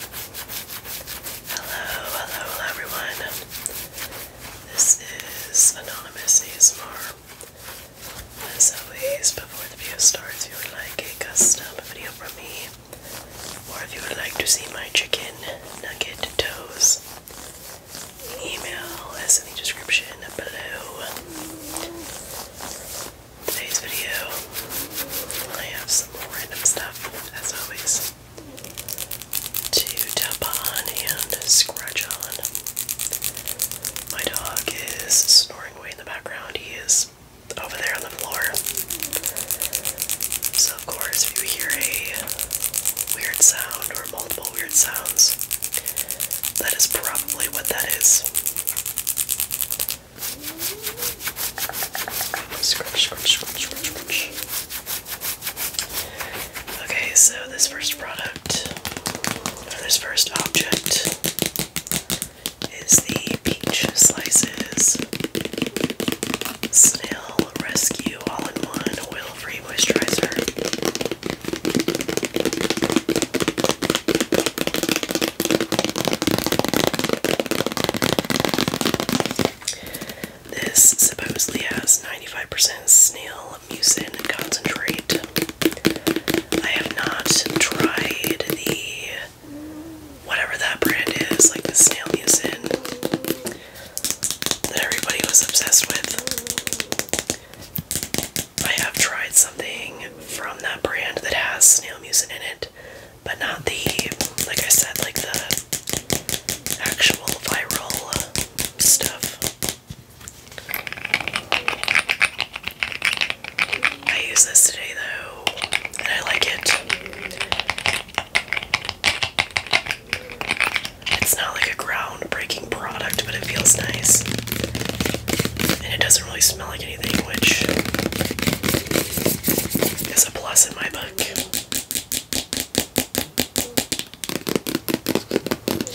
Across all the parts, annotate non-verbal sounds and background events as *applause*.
Hello, hello, hello everyone. This is Anonymous ASMR. As always, before the video starts, if you would like a custom video from me, or if you would like to see my chicken nugget toes, email is in description below. Today's video I have some more random stuff, as always, to tap on and scratch on. My dog is snoring away in the background. He is over there on the floor. So, of course, if you hear a weird sound or multiple weird sounds, that is probably what that is. Scrunch, scrunch, scrunch, scrunch, Okay, so this first product, or this first object, is the Peach Slices Snail Rescue All in One Oil Free Moisturizer. This supposedly has 95% snail mucin concentrate. I have not tried the whatever that brand is, like the snail mucin that everybody was obsessed with. I have tried something from that brand that has snail mucin in it but not the like I said, like the actual viral stuff. I use this today though, and I like it. It's not like a groundbreaking product, but it feels nice. And it doesn't really smell like anything, which a plus in my book.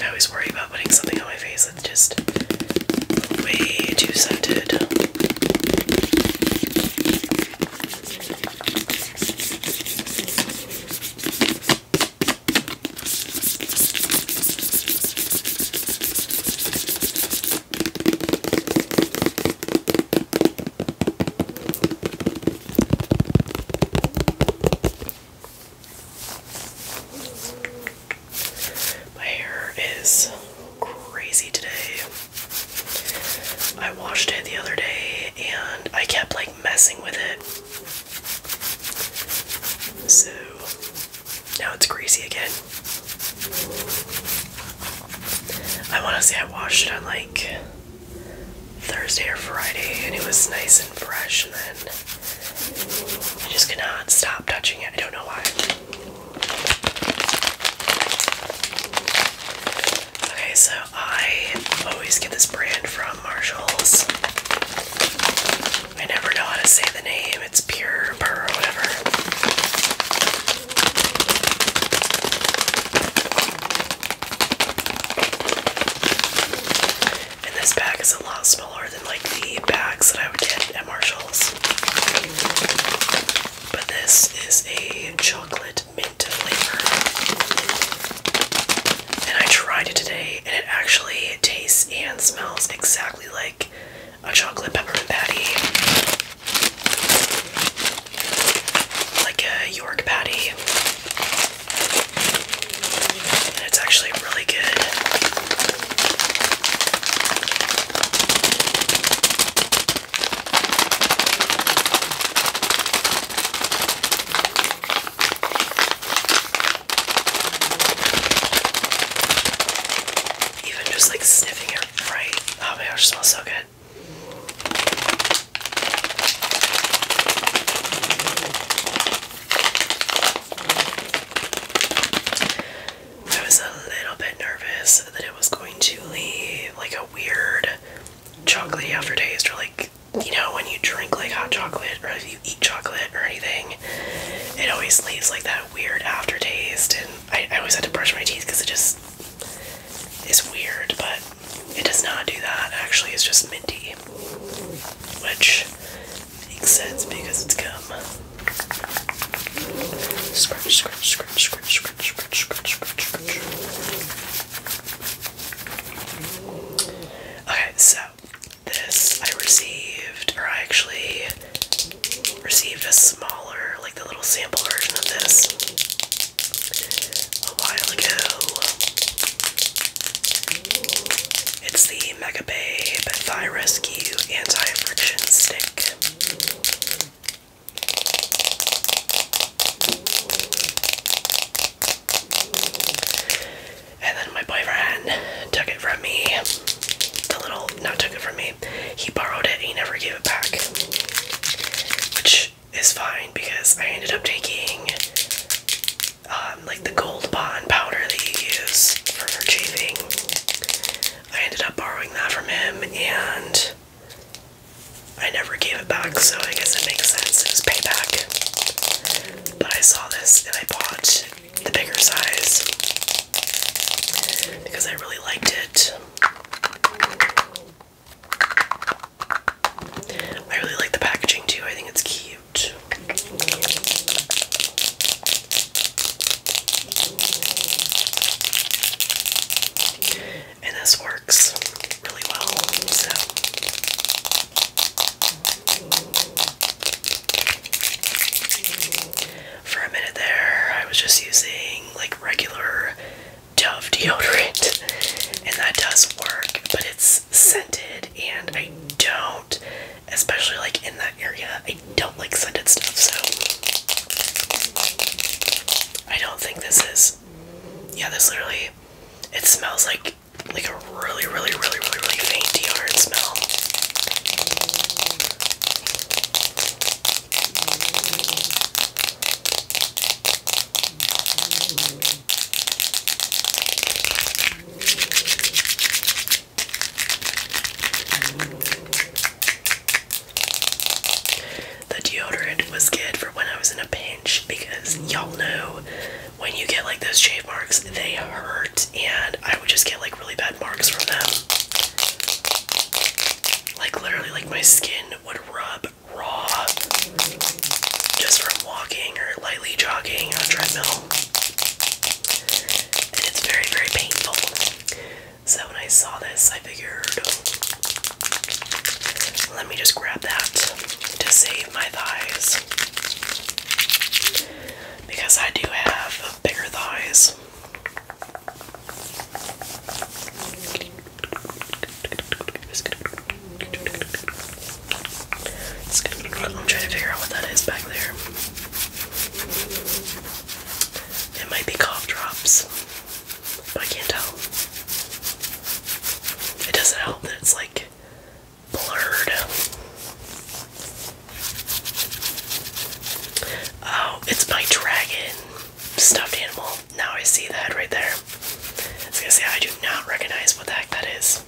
I always worry about putting something on my face that's just way too scented. My hair is crazy today. I washed it the other day and I kept like messing with it. So now it's greasy again. I want to say I washed it on like Thursday or Friday, and it was nice and fresh. And then I just cannot stop touching it. I don't know why. Okay, so I always get this brand from Marshalls. I never know how to say the name. It's pure, pur, whatever. And this bag is a lot smaller than like the bags that I would get at Marshall's. But this is a chocolate mint flavor. And I tried it today and it actually tastes and smells exactly like a chocolate peppermint patty, like a York patty, it's actually really good. Even just like sniffing it right Oh my gosh, it smells so good. I was a little bit nervous that it was going to leave like a weird chocolatey aftertaste, or like you know, when you drink like hot chocolate, or you eat chocolate or anything, it always leaves like that weird aftertaste, and I, always had to brush my teeth because it just is weird, but it does not do that. Actually, it's just minty, which makes sense because it's gum. scratch, scratch, scratch, scratch, scratch, scratch, scratch, scratch. Okay, so this I received, or I actually received a smaller, like the little sample version of this a while ago. It's the Mega Babe Thigh Rescue Anti-Friction Stick. And then my boyfriend took it from me. The little not took it from me. He borrowed it and he never gave it back. Which is fine because I ended up taking um, like the gold bond powder that you use for, for I ended up borrowing that from him and I never gave it back, so I guess it makes sense. It was payback. But I saw this and I bought the bigger size because I really liked it. I really like the packaging too, I think it's cute. And this works really well, for a minute there, I was just using like regular Dove deodorant, and that does work, but it's scented, and I don't, especially like in that area, I don't like scented stuff, so I don't think this is. Yeah, this literally, it smells like like a really, really, really, really, really faint deodorant smell. The deodorant was good for when I was in a pinch because y'all know when you get like those shave marks, they hurt, and I would just get like really bad marks from them. Like literally like my skin would rub raw just from walking or lightly jogging on a treadmill. And it's very, very painful. So when I saw this, I figured let me just grab that to save my thighs. Because I do have bigger thighs. I'm trying to figure out what that is back there. It might be cough drops, but I can't tell. It doesn't help that it's like blurred. Oh, it's my dragon stuffed animal. Now I see that right there. I say, I do not recognize what the heck that is.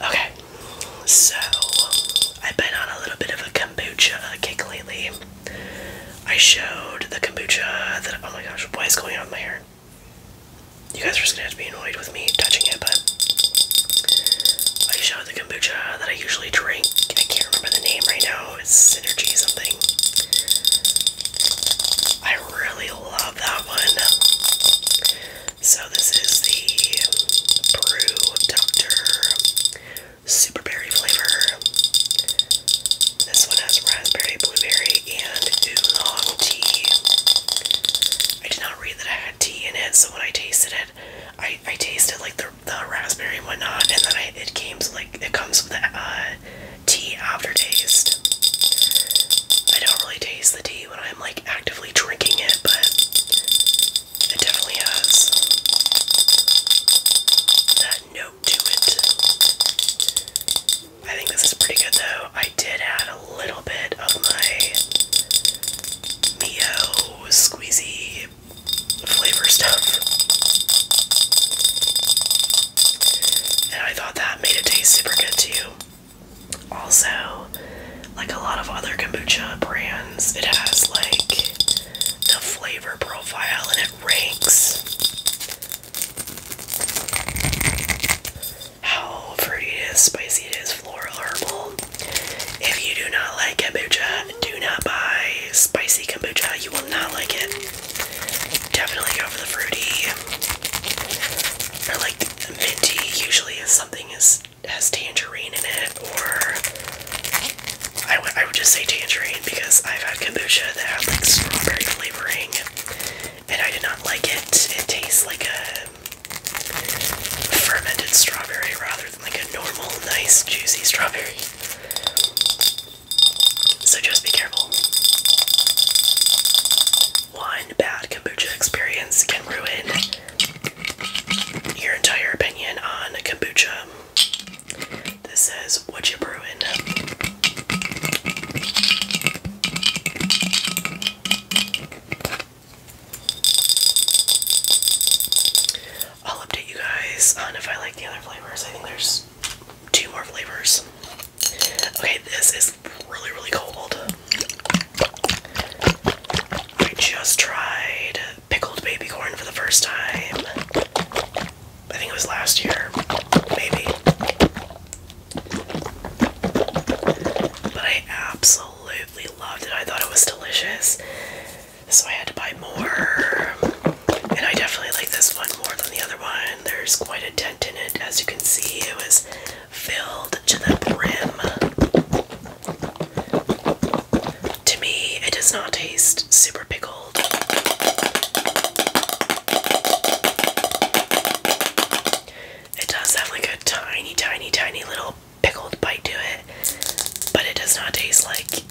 Okay, so I've been on a little bit of a kombucha kick lately. I showed the kombucha that, oh my gosh, what is going on my hair? You guys are just gonna have to be annoyed with me touching it, but I showed the kombucha that I usually drink. I can't remember the name right now. It's Synergy something. I really love that one. So this is the Brew Doctor Super Berry flavor. This one has raspberry, blueberry, and oolong tea. I did not read that I had tea in it, so when I tasted it it. I I tasted like the the raspberry and whatnot, and then it came like it comes with a uh, tea aftertaste. I don't really taste the tea when I'm like actively drinking it, but it definitely has that note to it. I think this is pretty good though. I did add a little bit of my Mio squeezy flavor stuff. And I thought that made it taste super good too. Also, like a lot of other kombucha brands, it has like the flavor profile and it ranks how fruity it is, spicy it is, floral, herbal. If you do not like kombucha, do not buy spicy kombucha. You will not like it. Definitely go for the fruity or like minty. Usually, if something is has tangerine in it, or I would I would just say tangerine because I've had kombucha that had like strawberry flavoring, and I did not like it. It tastes like a fermented strawberry rather than like a normal, nice, juicy strawberry. So just be careful. One bad kombucha experience can ruin your entire opinion on kombucha. This says, What you brewing? I'll update you guys on if I like the other flavors. I think there's two more flavors. Okay, this is really, really cold. I just tried pickled baby corn for the first time. I think it was last year, maybe. But I absolutely absolutely loved it. I thought it was delicious. So I had to buy more. And I definitely like this one more than the other one. There's quite a dent in it. As you can see, it was filled to the brim. To me, it does not taste super pickled. It does have like a tiny, tiny, tiny little pickled bite to it, but it does not taste like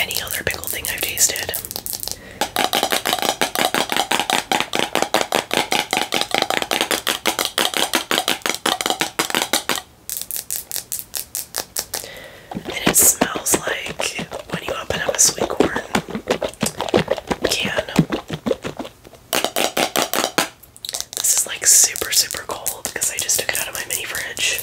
any other pickle thing I've tasted. And it smells like when you open up a sweet corn can. This is like super, super cold because I just took it out of my mini fridge.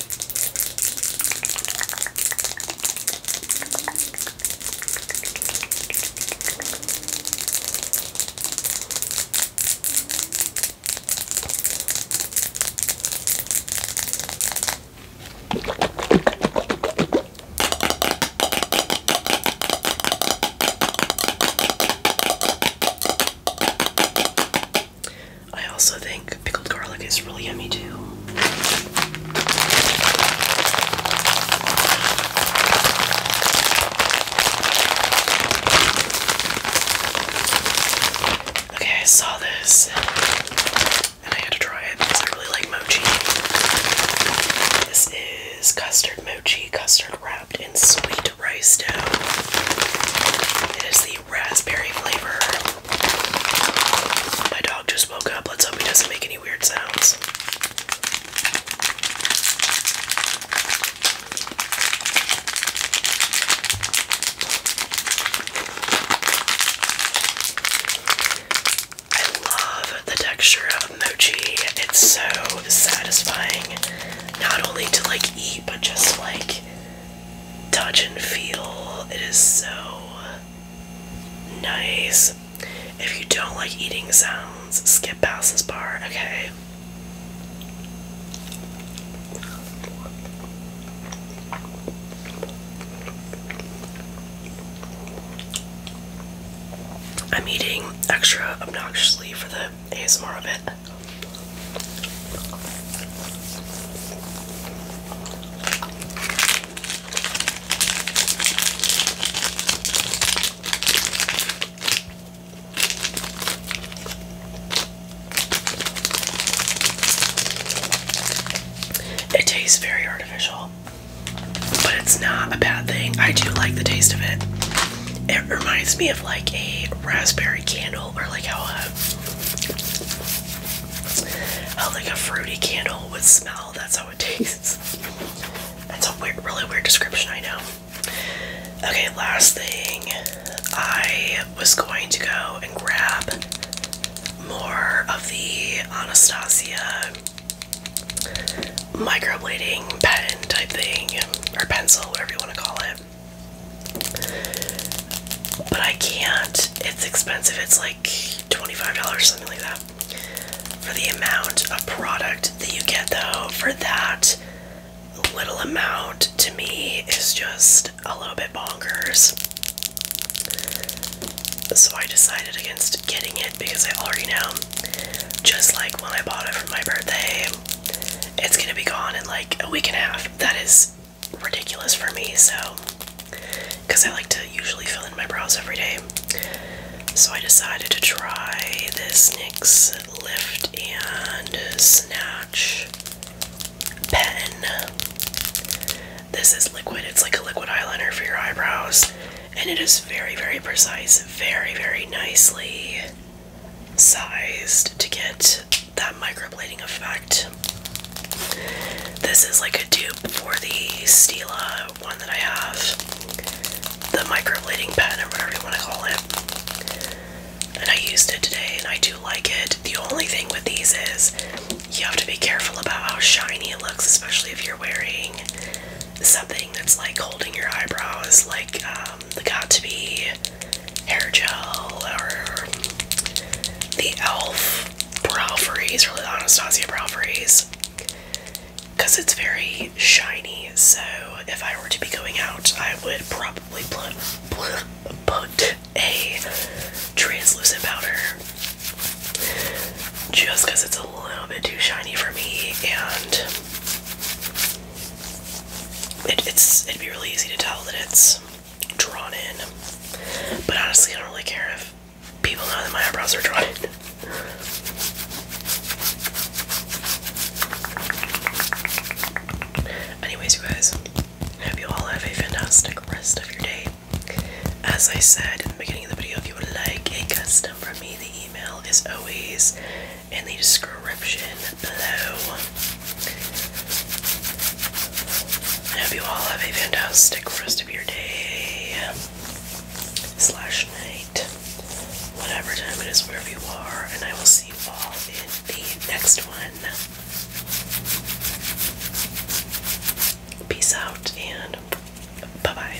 I also think pickled garlic is really yummy too. Okay, I saw this and I had to try it I really like mochi. This is custard mochi custard wrapped in sweet rice dough. It is the raspberry flavor. My dog just woke up. Let's hope he doesn't make any weird sounds. I love the texture of mochi. It's so satisfying not only to like eat but just like touch and feel. It is so nice. If you don't like eating sounds, skip past this bar, okay? I'm eating extra obnoxiously for the ASMR of it. It tastes very artificial, but it's not a bad thing. I do like the taste of it. It reminds me of like a raspberry candle or like how a uh, how like a fruity candle would smell. That's how it *laughs* tastes. That's a weird, really weird description, I know. Okay, last thing. I was going to go and grab more of the Anastasia microblading pen type thing, or pencil, whatever you want to call it. But I can't. It's expensive. It's like $25, something like that. For the amount of product that you get, though, for that little amount, to me, is just a little bit bonkers. So I decided against getting it because I already know. Just like when I bought it for my birthday, it's gonna be gone in like a week and a half. That is ridiculous for me, so because I like to usually fill in my brows every day. So I decided to try this NYX Lift and Snatch pen. This is liquid, it's like a liquid eyeliner for your eyebrows, and it is very, very precise, very, very nicely sized to get that microblading effect. This is like a dupe for the Stila one that I have, the microblading pen or whatever you want to call it. And I used it today and I do like it. The only thing with these is you have to be careful about how shiny it looks, especially if you're wearing something that's like holding your eyebrows, like um, um, got to be hair gel or the e.l.f. brow freeze or the Anastasia brow freeze because it's very shiny. So, if I were to be going out, I would probably put, put a translucent powder just because it's a little bit too shiny for me and it, it's it'd be really easy to tell that it's drawn in. But honestly, I don't really care if people know that my eyebrows are drawn in. *laughs* Anyways, guys, hope you all have a fantastic rest of your day. As I said in the beginning of the video, if you would like a custom from me, the email is always in the description below. hope you all have a fantastic rest of your day slash night, whatever time it is wherever you are, and I will see you all in the next one. Peace out and bye bye.